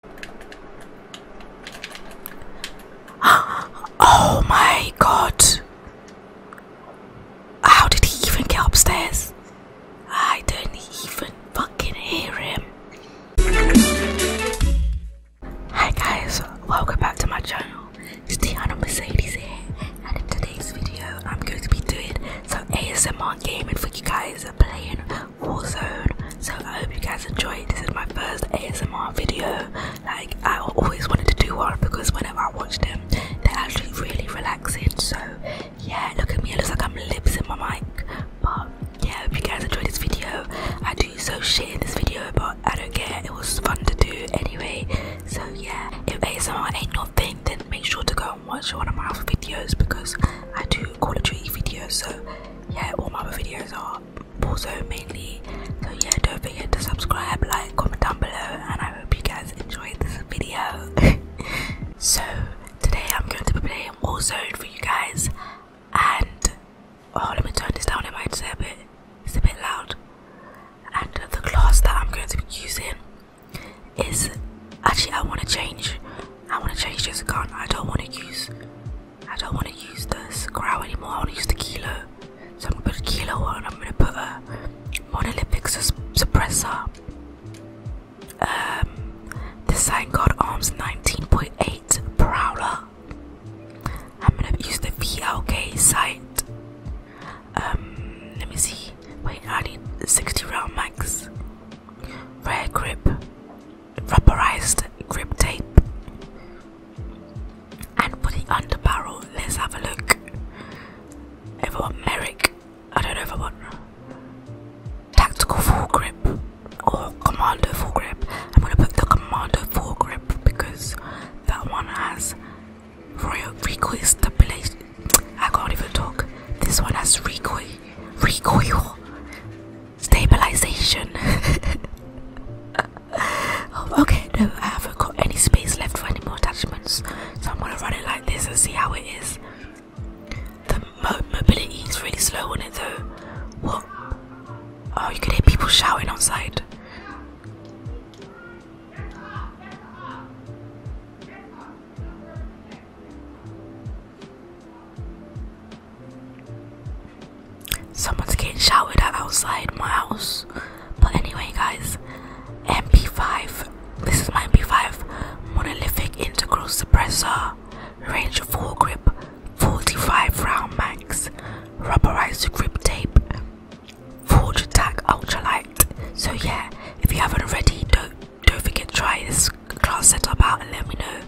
oh my god. How did he even get upstairs? I don't even fucking hear him. Hi guys, welcome back to my channel. It's Diana Mercedes here, and in today's video, I'm going to be doing some ASMR gaming for you guys, Warzone. So I hope you guys enjoyed. This is my first ASMR video. Like I always wanted to do one because whenever I watched them, they're actually really relaxing. So yeah, look at me. It looks like I'm lips in my mic. But yeah, I hope you guys enjoyed this video. I do so shit in this video, but I don't care. It was fun to do anyway. So yeah, if ASMR ain't your thing, then make sure to go and watch one of my other videos because I do Call videos. So yeah all my other videos are also mainly so yeah don't forget to subscribe like comment down below and i hope you guys enjoyed this video so today i'm going to be playing warzone for you guys and oh let me turn this down it might say a bit it's a bit loud and the class that i'm going to be using is actually i want to change i want to change this gun. i don't want to use I don't want to use this crow anymore, I want to use the Kilo. So I'm going to put a Kilo on, I'm going to put a Monolithic Suppressor. Um, the Sign God Arms 19.8 Prowler. I'm going to use the VLK sight. Um, let me see. Wait, I need 60 round max. Rare grip rubberized grip tape and for the underbarrel, Let's have a look. If I Merrick, I don't know if I want tactical full grip or commander full grip. I'm gonna put the commando full grip because that one has royal recoil I can't even talk. This one has recoil, recoil stabilization. Oh, okay, no, I haven't got any space left for any more attachments, so I'm gonna run it like this and see how it is. The mobility is really slow on it though. What? Oh, you can hear people shouting outside. Someone's getting shouted at outside my house. But anyway, guys, MP5. This is my MP5 monolithic integral suppressor. Range 4 grip, 45 round max, rubberized grip tape, forge attack ultralight. So yeah, if you haven't already, do don't forget to try this class setup out and let me know.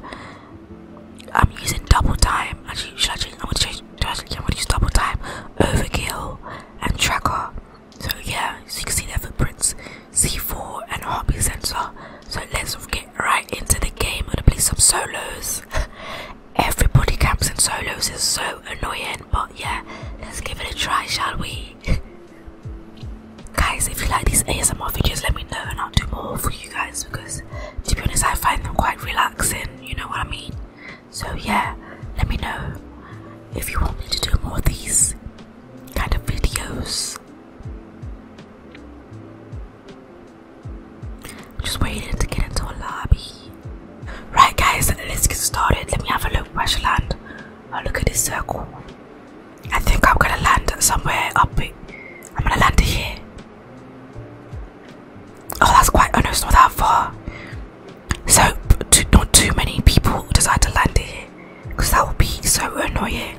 I'm using double time. Actually, I am gonna use double time, overkill, and tracker. So yeah, so you can see their footprints, C4, and heartbeat sensor. So let's get right into the game. I'm gonna play some solos. Everybody camps in solos is so annoying, but yeah, let's give it a try, shall we? Guys, if you like these ASMR videos, let me know and I'll do more for you guys because to be honest, I find them quite relaxing, you know what I mean? So, yeah, let me know if you want me to do more of these kind of videos. just waiting to get into a lobby. Right, guys, let's get started. Let me have a look. Where I land? Oh, look at this circle. I think I'm gonna land somewhere up. here. I'm gonna land here. Oh, that's quite. Oh no, that far. So, not too many people decide to land here, because that would be so annoying.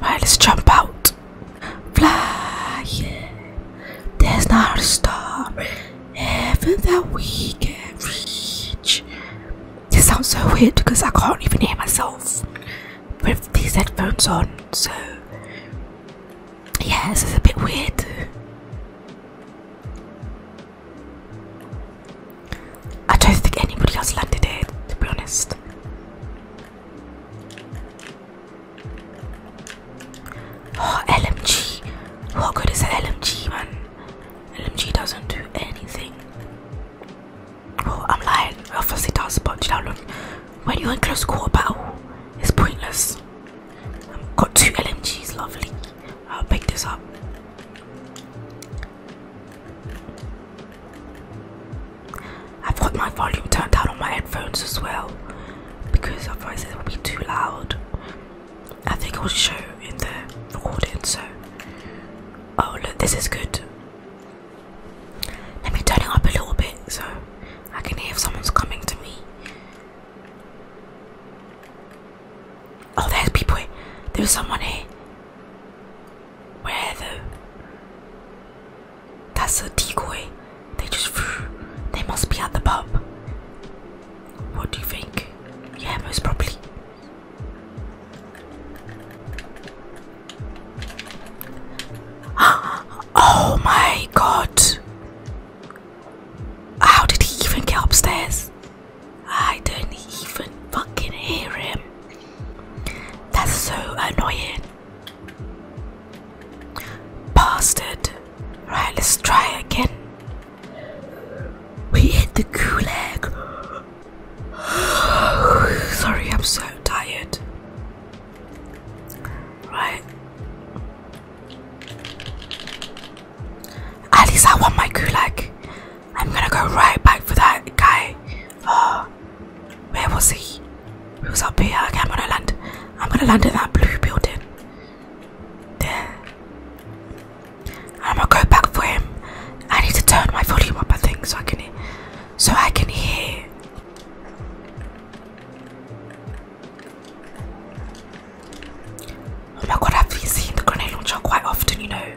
Right, let's jump out. Fly, yeah. There's not a star, heaven that we can reach. This sounds so weird because I can't even hear myself with these headphones on, so yeah, this is a bit weird. I don't think anybody else landed it. to be honest. Oh, LMG. What good is an LMG, man? LMG doesn't do anything. Oh, I'm lying. Obviously, that's sponge down. When you're in close quarter battle, it's pointless. I've got two LMGs, lovely. I'll pick this up. I've got my volume turned down on my headphones as well because otherwise it will be too loud. I think it will show in the recording, so Oh look, this is good. Let me turn it up a little bit so I can hear if someone's coming to me. Oh, there's people. Here. There's someone here. Where though? That's a decoy. They just They must be at the pub. What do you think? Yeah, most probably. oh my god. How did he even get upstairs? I don't even fucking hear him. That's so annoying. Bastard. Right, let's try again. We hit the gulag. Sorry, I'm so tired. Right. At least I want my gulag. I'm gonna go right back for that guy. Uh, where was he? He was up here. I'm gonna land. I'm gonna land in that blue building. There. I'm gonna go back for him. I need to turn my volume up, I think, so I can hear, so I can hear. Oh my god, I've seen the grenade launcher quite often, you know.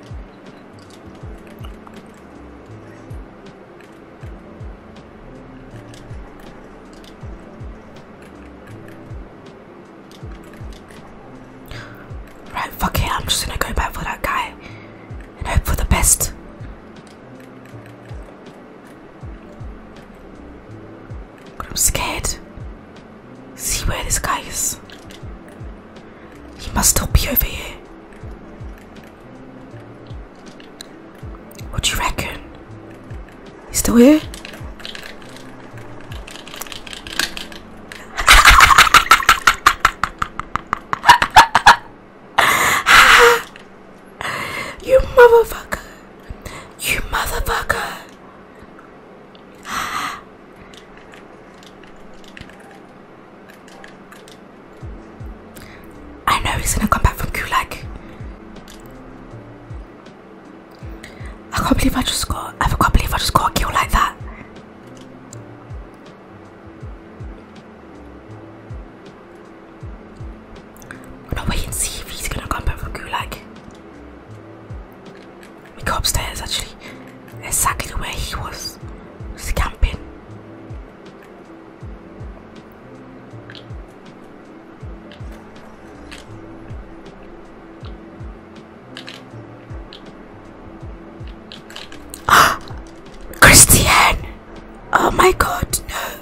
Right, fuck it, I'm just gonna go back for that guy and hope for the best. But I'm scared. See where this guy is. He must still be over here. What do you reckon? He's still here? you motherfucker. You motherfucker. I know he's gonna come back from Gulag. I can't believe I just got I can't believe I just got a kill like that. We're gonna wait and see if he's gonna come back from Gulag. We go upstairs actually, exactly where he was, just camping. Ah, Christian! Oh my god, no.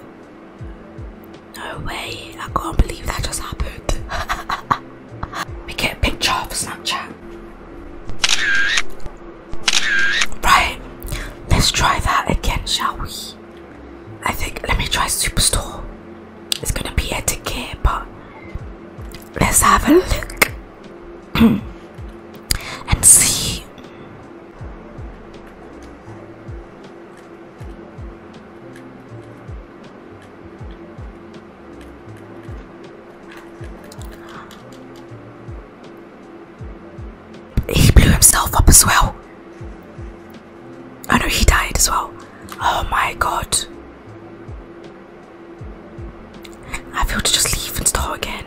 No way, I can't believe that just happened. we get a picture for Snapchat. Right, let's try that again, shall we? I think, let me try Superstore. It's gonna be a decay, but let's have a look. and see he blew himself up as well. I know he died as well. Oh my god. I feel to just leave and start again.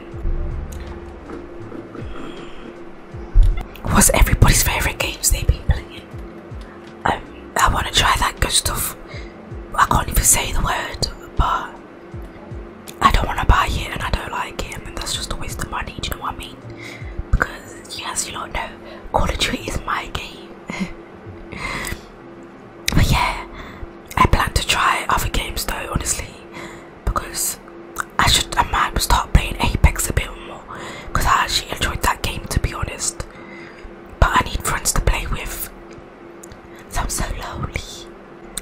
What's everybody's favourite games they've been playing? Um, I want to try that good stuff. I can't even say the word, but I don't want to buy it and I don't like it, and that's just a waste of money. Do you know what I mean? Because, yes, you don't know, Call of Duty is my game. But yeah, I plan to try other games though, honestly, because I should I might start playing Apex a bit more because I actually enjoyed that game to be honest. But I need friends to play with. So I'm so lonely.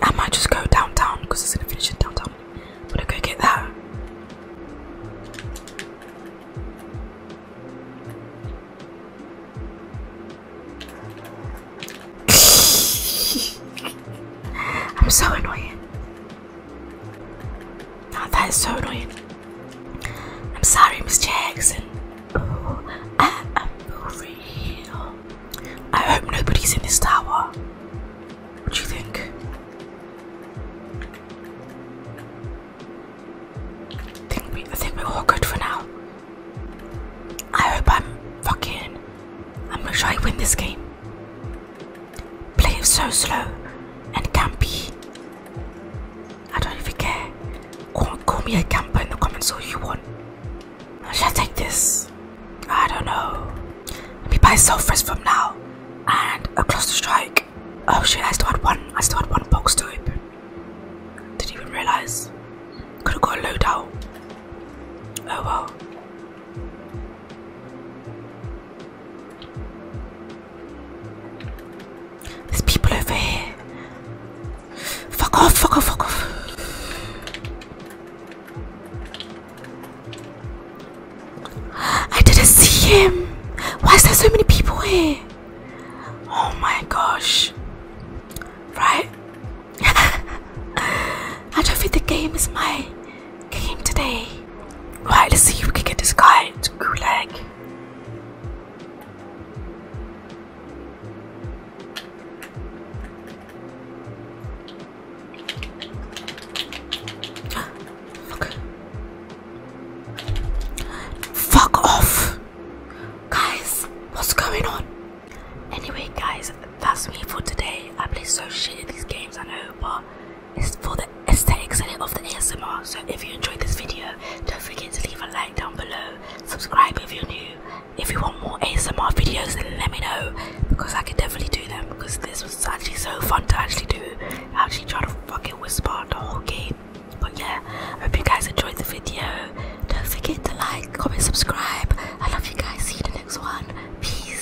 I might just go downtown because it's gonna finish in downtown. I'm gonna go get that. I'm so annoying. that is so annoying. I'm sorry, Miss Jackson. I am real. I hope nobody's in this tower. What do you think? I think we're all good for now. I hope I'm fucking. I'm gonna try win this game. Play it so slow and campy. I don't even care. Call, me a camper in the comments all you want. I shall take this? I don't know. Let me buy sulfurous from now and a cluster strike. Oh shit, I still had one. I still had one box to open. Didn't even realise. Could have got a loadout. Oh well. There's people over here. Fuck off, fuck off, fuck off. I didn't see him. Why is there so many people here? Oh my gosh. Right? I don't think the game is my game today. Right, let's see if we can get this guy to Gulag. Fuck. Fuck off. Guys, what's going on? Anyway, guys, that's me for today. I play so shit in these games, I know, but it's for the aesthetics of the ASMR. So if you enjoyed this video, don't forget to leave a like down below. Subscribe if you're new. If you want more ASMR videos, then let me know because I could definitely do them. Because this was actually so fun to actually do. actually tried to fucking whisper the whole game. But yeah, hope you guys enjoyed the video. Don't forget to like, comment, subscribe. I love you guys. See you in the next one. Peace.